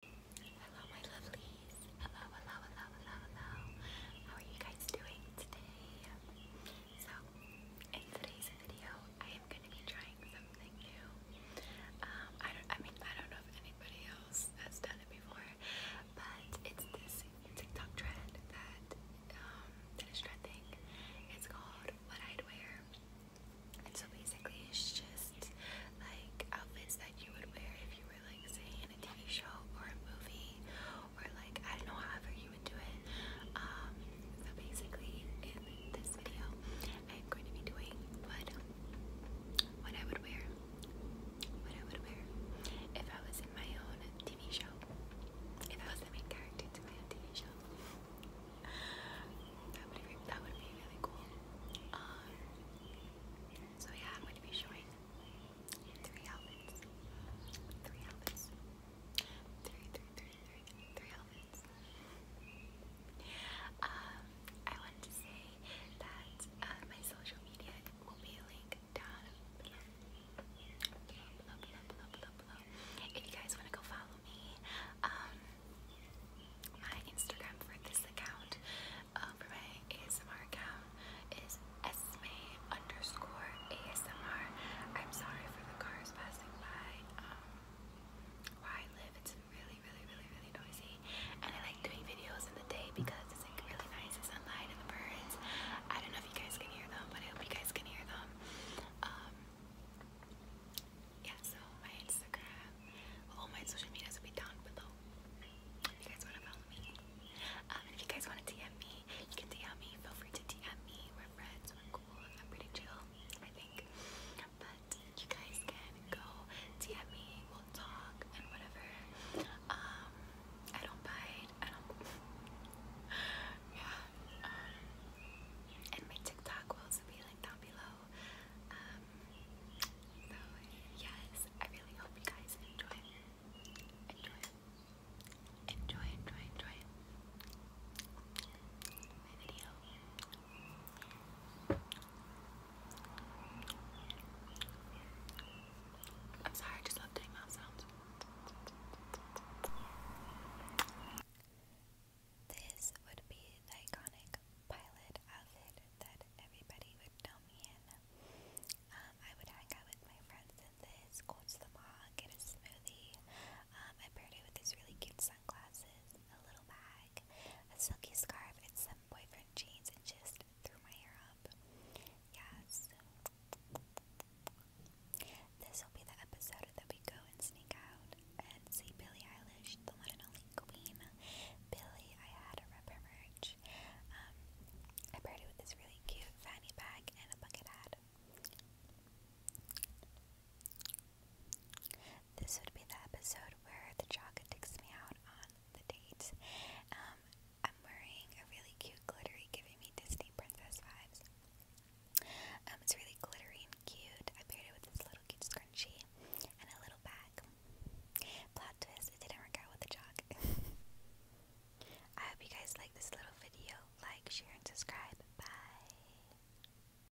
Hello, my lovelies. Hello, hello, hello, hello, hello. How are you guys doing today? So, in today's video, I am going to be trying something new. Um, I don't. I mean, I don't know if anybody else has done it before, but it's this TikTok trend that um, that is trending. It's called "What I'd Wear." And so basically it's just like outfits that you would wear if you were like say in a TV show or a movie or like I don't know how ever you would do it. Um, so basically in this video I'm going to be doing what what I would wear what I would wear if I was in my own TV show. If I was the main character to my own TV show that would be that would be really cool. Um, so yeah, I'm going to be showing three outfits, three outfits, three, three, three, three, three outfits. Um, I wanted to say that uh, my social media will be linked down if you guys want to go follow me, um, my Instagram for this account, uh, for my ASMR account, is Esme underscore ASMR. I'm sorry for the cars passing by. Um, where I live, it's really, really, really, really noisy, and I like doing videos in the day because it's like really nice. It's sunlight and the birds. I don't know if you guys can hear them, but I hope you guys can hear them them. Um, um, yeah, so my Instagram, all my social medias will be down below. If you guys want to follow me, um, if you guys want to DM me, you can DM me. Feel free to DM me. We're friends. We're cool. I'm pretty chill, I think. But you guys can go DM me. We'll talk and whatever. Um, I don't buy and I'm yeah. Um, and my TikTok will also be linked down below. Um, so yes, I really hope you guys enjoy, enjoy, enjoy, enjoy, enjoy my video. Thank you I'm sorry, I just love doing mouth sounds. This would be the iconic pilot outfit that everybody would know me in. Um, I would hang out with my friends in this, go to get a smoothie. Um, I paired it with these really cute sunglasses, a little bag, a silky scarf, and some boyfriend jeans, and just threw my hair up. Yes. This will be the episode that we go and sneak out and see Billie Eilish, the one and only queen. Billie, I had a rep merch. Um, I paired it with this really cute fanny bag and a bucket hat this would be the episode where the Jaga takes me out on the date. Um, I'm wearing a really cute glittery, giving me Disney princess vibes. Um, it's really glittery and cute. I paired it with this little cute scrunchie and a little bag. Plot twist, it didn't work out with the jog. I hope you guys like this little video. Like, share, and subscribe. Bye.